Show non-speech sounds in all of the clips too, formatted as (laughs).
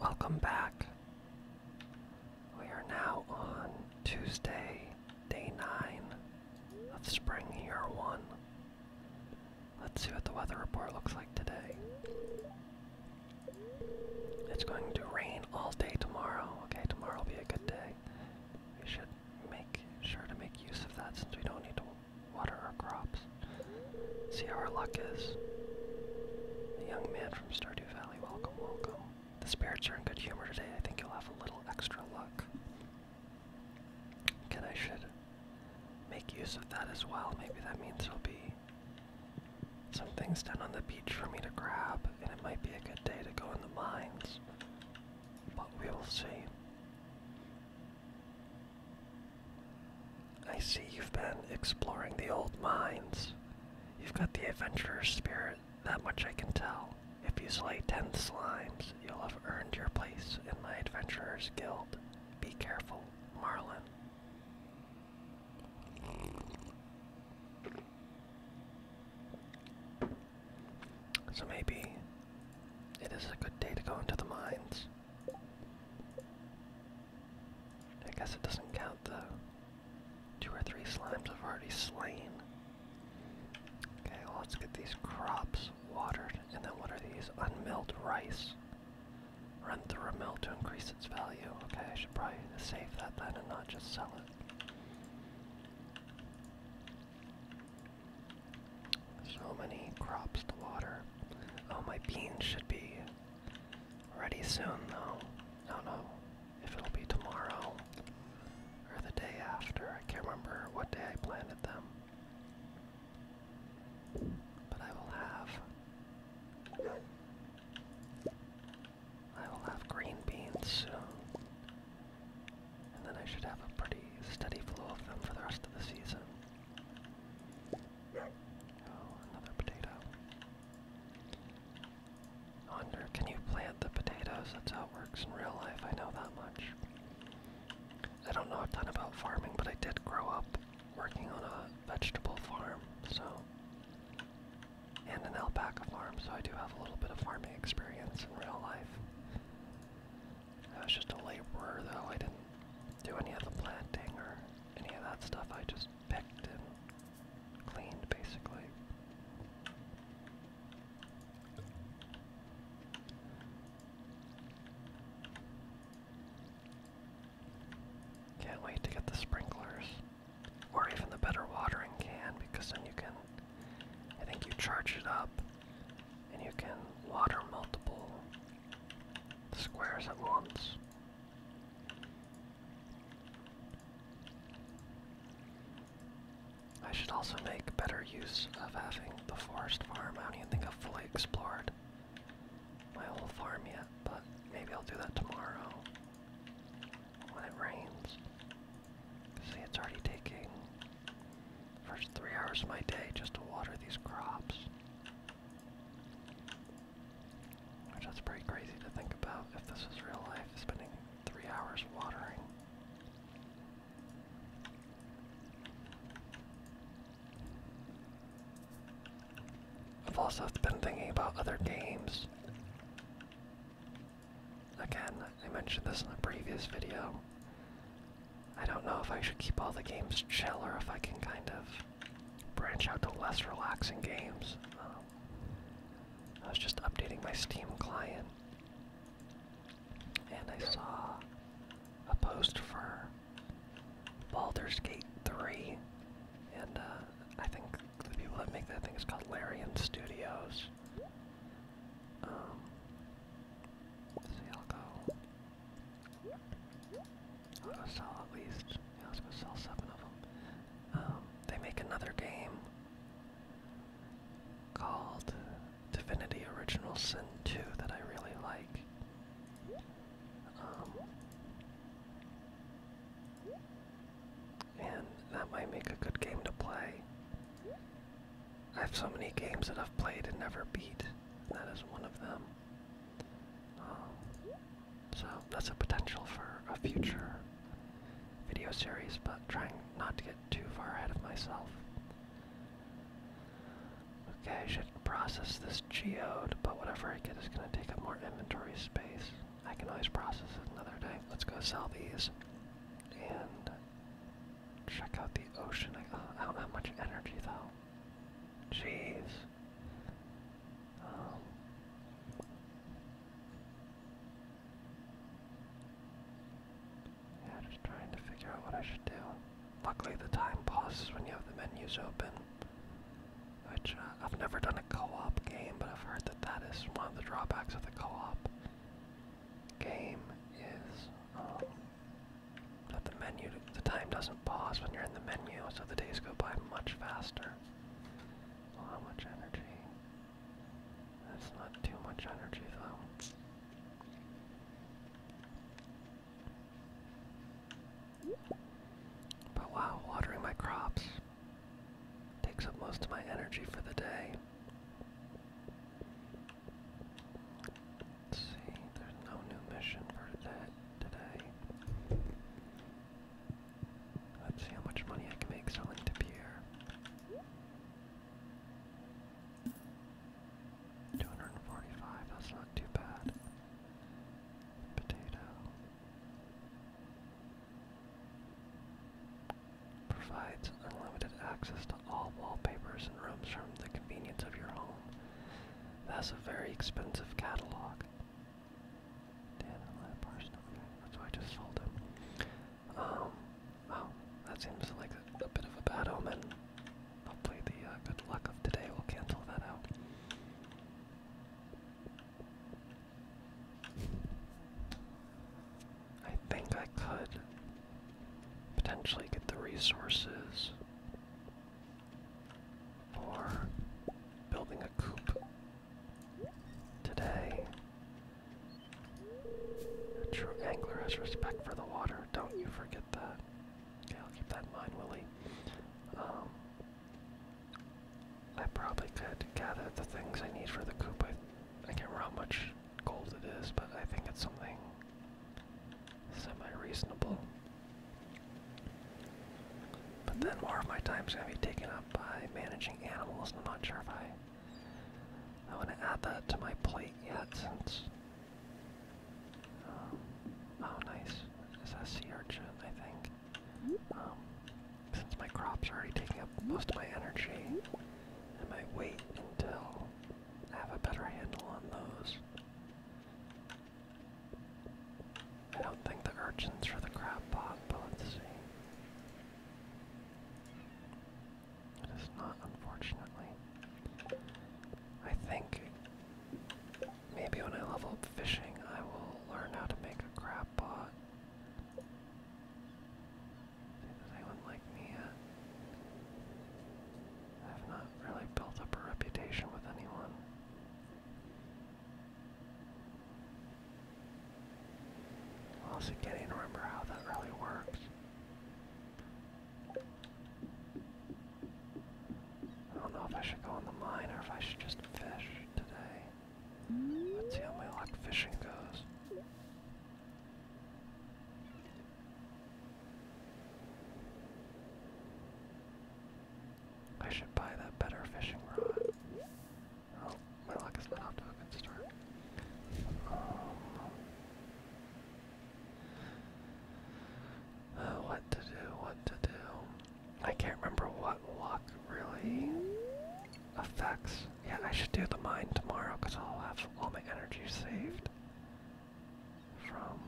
Welcome back. We are now on Tuesday, day 9 of spring year 1. Let's see what the weather report looks like today. It's going to rain all day tomorrow. Okay, tomorrow will be a good day. We should make sure to make use of that since we don't need to water our crops. See how our luck is. The young man from Stardew Valley, welcome, welcome. The spirits are in good humor today. I think you'll have a little extra luck. And I should make use of that as well. Maybe that means there'll be some things down on the beach for me to grab, and it might be a good day to go in the mines. But we will see. I see you've been exploring the old mines. You've got the adventurer's spirit, that much I can tell. If you slay ten slimes, you'll have earned your place in my adventurer's guild. Be careful, Marlin. So maybe it is a good day to go into the mines. I guess it doesn't count the two or three slimes I've already slain. Okay, let's get these crops watered. And then what are these? Unmilled rice. Run through a mill to increase its value. Okay, I should probably save that then and not just sell it. So many crops to water. Oh, my beans should be Ready soon though. I do if it'll be tomorrow or the day after. I can't remember what day I planted them. But I will have I will have green beans soon. And then I should have a pretty steady flow of them for the rest of the season. Oh, another potato. I wonder, can you plant the potatoes? That's how it works in real life, I know that much. I don't know a ton about farming, but I did grow up working on a vegetable farm, so. And an alpaca farm, so I do have a little bit of farming experience in real life. I was just a laborer, though. I didn't do any of the planting or any of that stuff. I just picked and cleaned basically. Can't wait to get the sprinklers. Or even the better watering can because then you can, I think you charge it up and you can water multiple squares at once. I should also make better use of having the forest farm. I don't even think I've fully explored my old farm yet, but maybe I'll do that tomorrow when it rains. See, it's already taking first three hours of my day just to water these crops. Which that's pretty crazy to think about if this was real life, spending three hours watering. I've also been thinking about other games. Again, I mentioned this in the previous video. I don't know if I should keep all the games chill or if I can kind of branch out to less relaxing games. Um, I was just updating my Steam client, and I saw a post for Baldur's Gate 3, and uh, I think the people that make that thing is called Larian Studios. Um, let's see, I'll go I'm sell at least. Yeah, let's go sell seven of them. Um, they make another game called Divinity Original Sin 2 that I really like. Um, and that might make a good game to play. I have so many games that I've played and never beat, and that is one of them. Um, so that's a potential for a future video series, but trying not to get too far ahead of myself. Okay, I should process this geode, but whatever I get is going to take up more inventory space. I can always process it another day. Let's go sell these and check out the ocean. I don't uh, have much energy though. Jeez. Um, yeah, just trying to figure out what I should do. Luckily, the time pauses when you have the menus open, which uh, I've never done a co-op game, but I've heard that that is one of the drawbacks of the co-op game is um, that the menu, the time doesn't pause when you're in the menu, so the days go by much faster. how much energy? That's not too much energy, though. But wow, watering my crops takes up most of my energy for the day. Let's see, there's no new mission for today. Let's see how much money I can make selling to Pierre. 245, that's not too bad. Potato. Provides unlimited access to all wallpapers and rooms from the convenience of your home. That's a very expensive catalog. Damn that person. Okay, that's why I just sold him. Um, wow, that seems like a, bit of a bad omen. Hopefully the uh, good luck of today will cancel that out. I think I could potentially get the resources for building a coop today. A true angler has respect for the water. Don't you forget that. Yeah, I'll keep that in mind, Willie. Um, I probably could gather the things I need for the coop. I, I can't remember how much gold it is, but I think it's something semi-reasonable. But then more of my time is gonna be taken up by managing animals, and I'm not sure if I I want to add that to my plate yet, since. Um, oh, nice. Is that sea I think. Um, since my crops are already taking up most of my energy, and my weight, until I have a better handle on those. I don't think the urchins for the crab pot, but let's see. It is not, unfortunately. I think maybe when I level up fishing, I will learn how to make a crab pot. Does anyone like me I've not really built up a reputation with anyone. also can't even remember how that really works. I don't know if I should go in the mine or if I should just fish today. Let's see how my luck fishing goes. I should buy that better fishing rod. Oh, my luck is not off to a good start. Um, uh, what to do, what to do. I can't remember what luck really affects. Yeah, I should do the mine tomorrow because I'll have all my energy saved from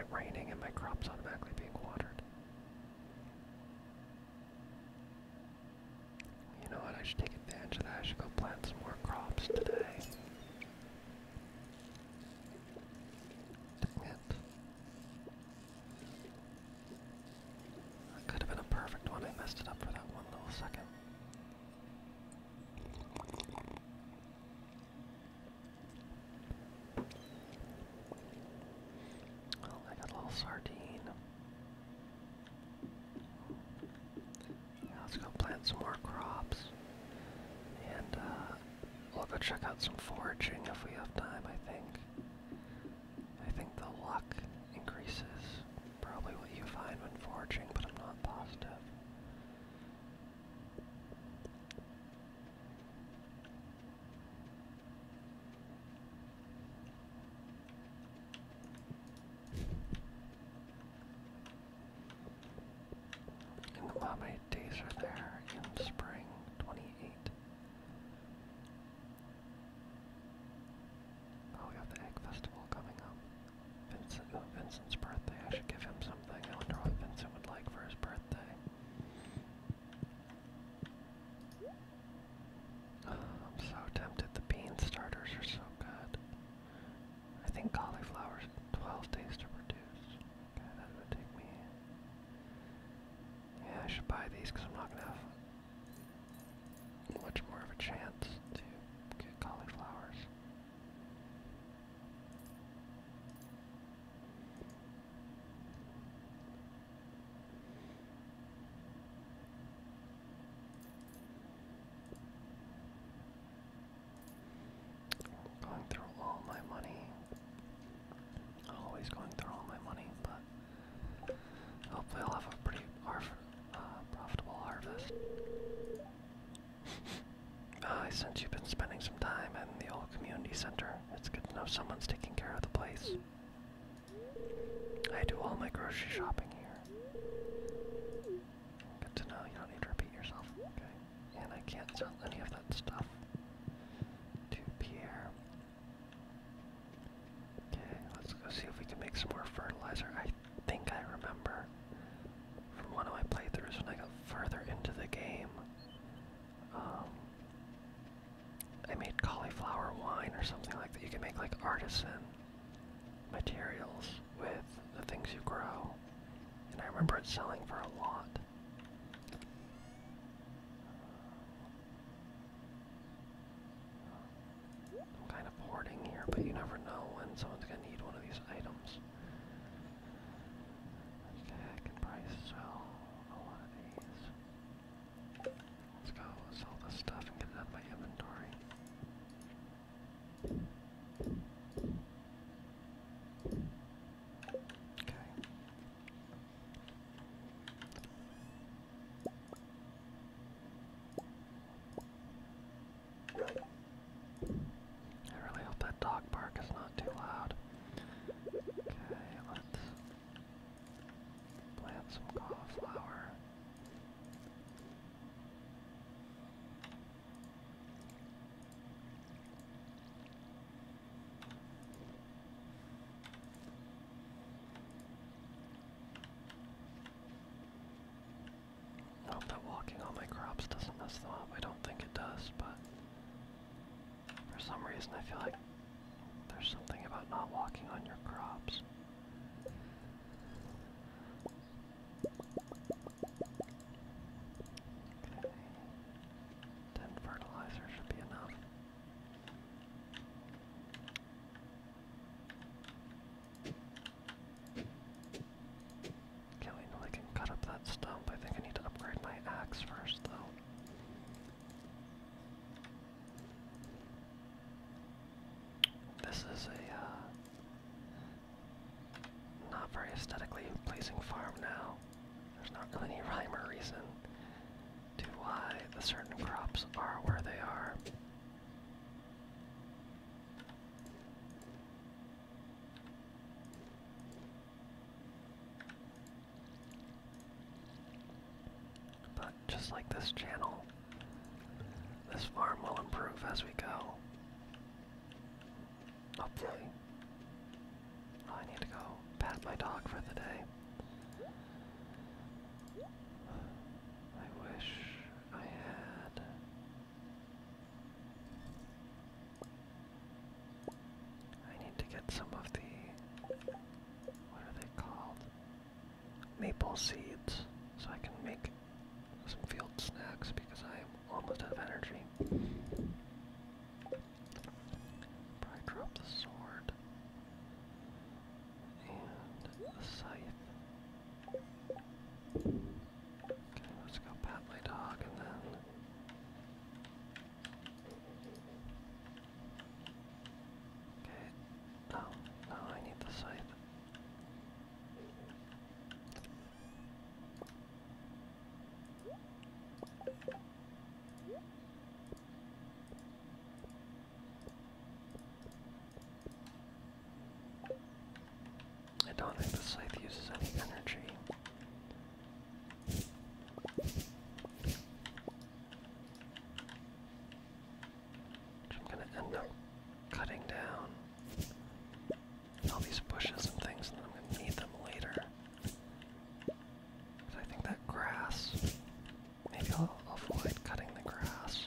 it raining and my crops automatically being watered. You know what? I should take advantage of that. I should go plant some more crops today. Dang it. That could have been a perfect one. I messed it up for that one little second. Oh, I got a little sardine. let's go plant some more crops. And uh, we'll go check out some foraging if we have time, I think. I think the luck increases. Probably what you find when foraging, but I'm not positive. And the Mame days are there in spring 28. Oh, we have the Egg Festival coming up. Vincent, oh, Vincent's birthday. I should give him something. I wonder what Vincent would like for his birthday. (sighs) I'm so tempted. The bean starters are so good. I think cauliflower's 12 days to produce. Okay, that would take me. Yeah, I should buy these because I'm not going to have much more of a chance to get cauliflowers. Going through all my money. Always going through all my money, but hopefully I'll have a pretty uh, profitable harvest. Uh, since you've been spending some time in the old community center, it's good to know someone's taking care of the place. I do all my grocery shopping here. Good to know you don't need to repeat yourself, okay? And I can't sell any of that stuff to Pierre. Okay, let's go see if we can make some more fertilizer think I remember from one of my playthroughs when I got further into the game. Um, I made cauliflower wine or something like that. You can make like artisan materials with the things you grow. And I remember it selling for a lot. I'm kind of hoarding here, but you never know when someone's gonna need one of these items. Okay, I can probably sell a lot of these. Let's go sell this stuff and get it out my inventory. Okay. I really hope that dog bark is not too loud. Okay, let's plant some cauliflower. I hope that walking on my crops doesn't mess them up. I don't think it does, but for some reason I feel like there's something about not walking on your crops. Okay. Ten fertilizer should be enough. Can't wait I can cut up that stump. I think I need to upgrade my axe first, though. This is a uh, not very aesthetically pleasing farm now. There's not really any rhyme or reason to why the certain crops are where they are. But just like this channel, this farm will improve as we go. Hopefully. I need to go pat my dog for the day. I wish I had I need to get some of the, what are they called? Maple seeds, so I can make some field snacks because I am almost out of energy. Probably drop the sword and the scythe. Okay, let's go pat my dog and then. Okay. No, no, I need the scythe. I don't think the scythe uses any energy. I'm gonna end up cutting down all these bushes and things, and I'm gonna need them later. But I think that grass. Maybe I'll avoid cutting the grass.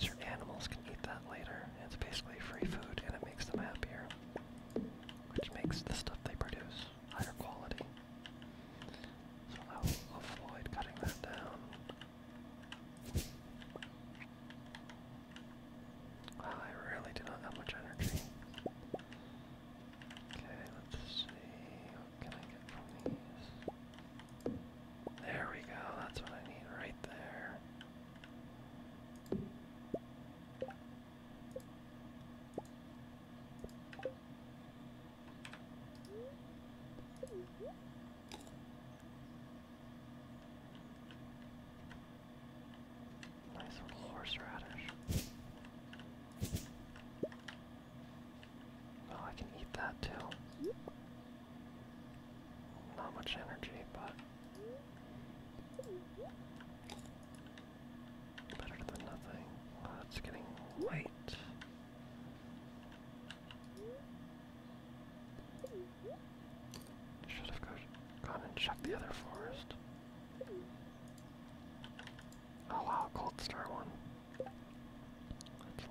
Your animals can eat that later. It's basically free food and it makes them happier. Which makes the stuff they produce higher quality. So I'll avoid cutting that down. Wow, I really do not have much energy. Okay, let's see. What can I get from these? There we go, that's what I need right there. Nice little horseradish. Well, I can eat that too. Not much energy, but better than nothing. it's getting late. Should have gone and checked the other forest. Oh wow, Cold Star that's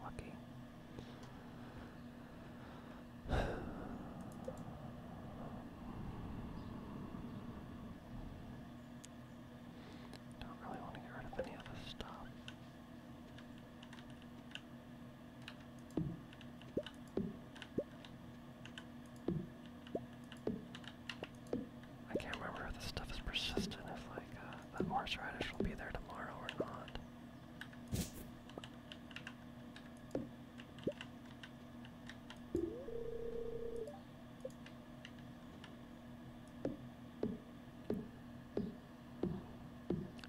lucky. (sighs) Don't really want to get rid of any of stuff. I can't remember if this stuff is persistent, if like uh, that marsh will be there tomorrow or not.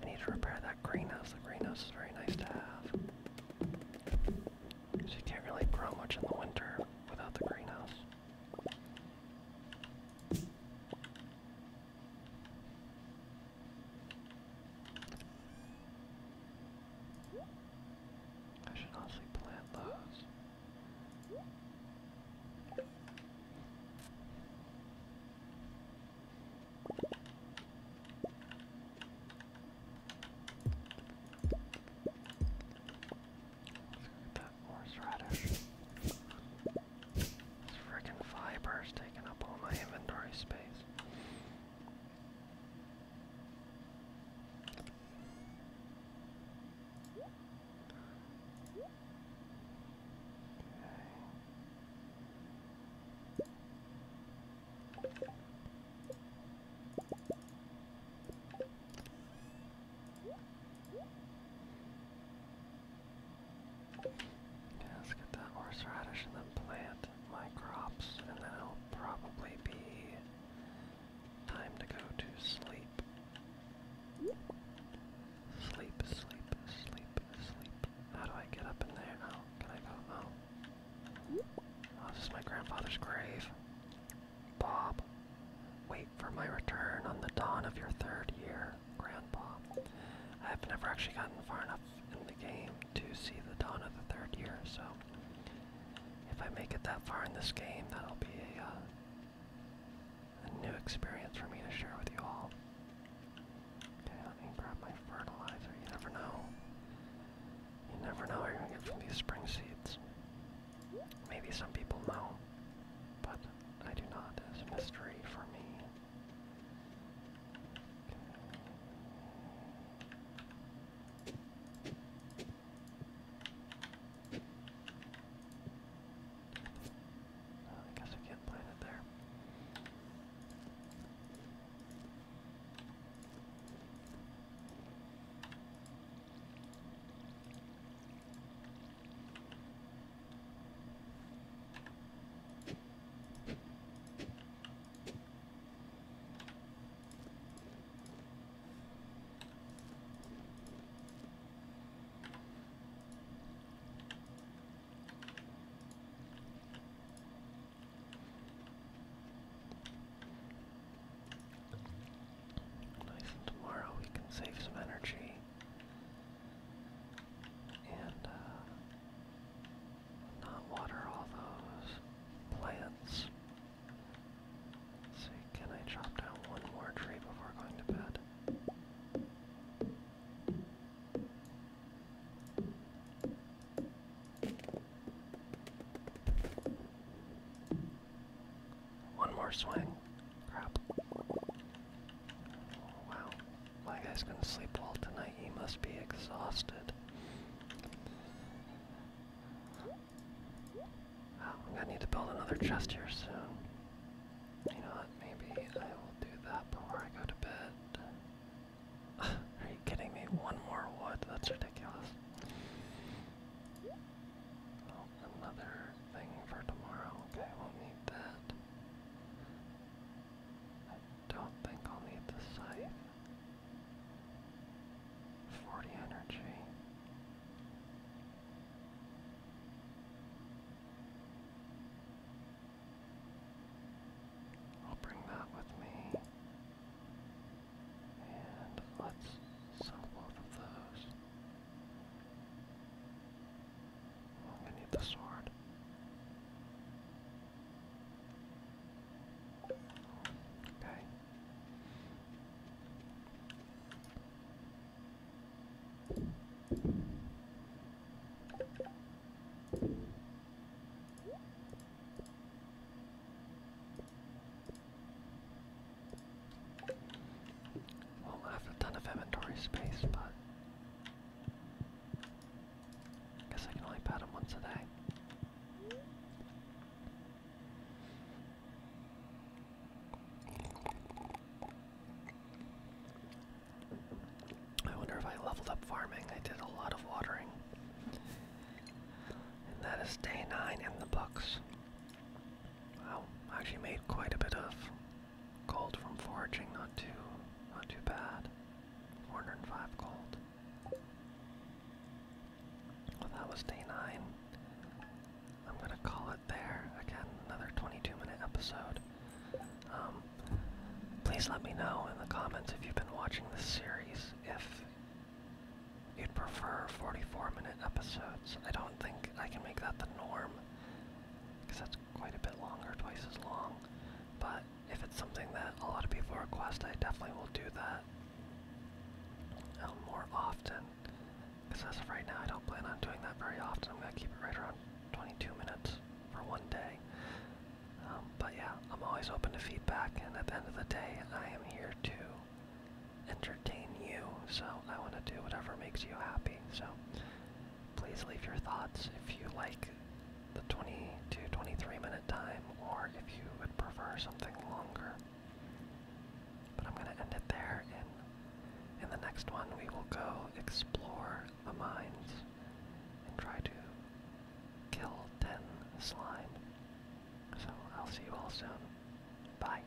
I need to repair that greenhouse. The greenhouse is very nice to have. Because you can't really grow much in the winter without the greenhouse. I should also plant those. Let's get that horseradish. This frickin' fiber is taking up all my inventory space. Yeah, let's get that horseradish and then plant my crops, and then it'll probably be time to go to sleep. Sleep, sleep, sleep, sleep. How do I get up in there? Oh, can I go? Oh, this is my grandfather's grave. Bob, wait for my return on the dawn of your third year grandpa. I've never actually gotten far enough in the game to see the dawn of the third year, so if I make it that far in this game, that'll be uh, a, new experience for me to share with you all. Okay, let me grab my fertilizer. You never know. You never know what you're gonna get from these spring seeds. Maybe some people know, but I do not. It's a mystery for me. I guess I can't plant it there. Nice tomorrow we can save some energy and uh, not water all those plants. see, can I chop down one more tree before going to bed? One more swing. Crap. Oh, wow. My guy's gonna sleep well tonight. He must be exhausted. Wow, I'm gonna need to build another chest here soon. You know what? Maybe I will do that before I go to bed. (laughs) Are you kidding me? One more wood? That's ridiculous another thing for tomorrow. Okay, we'll need that. I don't think I'll need the scythe. 40 energy. I'll bring that with me. And let's sell both of those. I need the sword. Okay will have a ton of inventory space, but I guess I can only pat him once a day. I wonder if I leveled up farming. I did a lot of watering. And that is day nine in the books. Wow, I actually made quite a bit of Gold from foraging, not too, not too bad. 405 gold. Well, that was day nine. I'm gonna call it there. Again, another 22-minute episode. Um, please let me know in the comments if you've been watching this series. If you'd prefer 44-minute episodes, I don't think I can make that the norm because that's quite a bit longer, twice as long. But if it's something that a lot of people request, I definitely will do that um, more often. Because as of right now, I don't plan on doing that very often. I'm going to keep it right around 22 minutes for one day. Um, but yeah, I'm always open to feedback, and at the end of the day, I am here to entertain you, so I want to do whatever makes you happy. So Please leave your thoughts if you like the 22, 23 minute time or if you would prefer something longer. But I'm going to end it there and in the next one we will go explore the mines and try to kill 10 slime. So I'll see you all soon. Bye.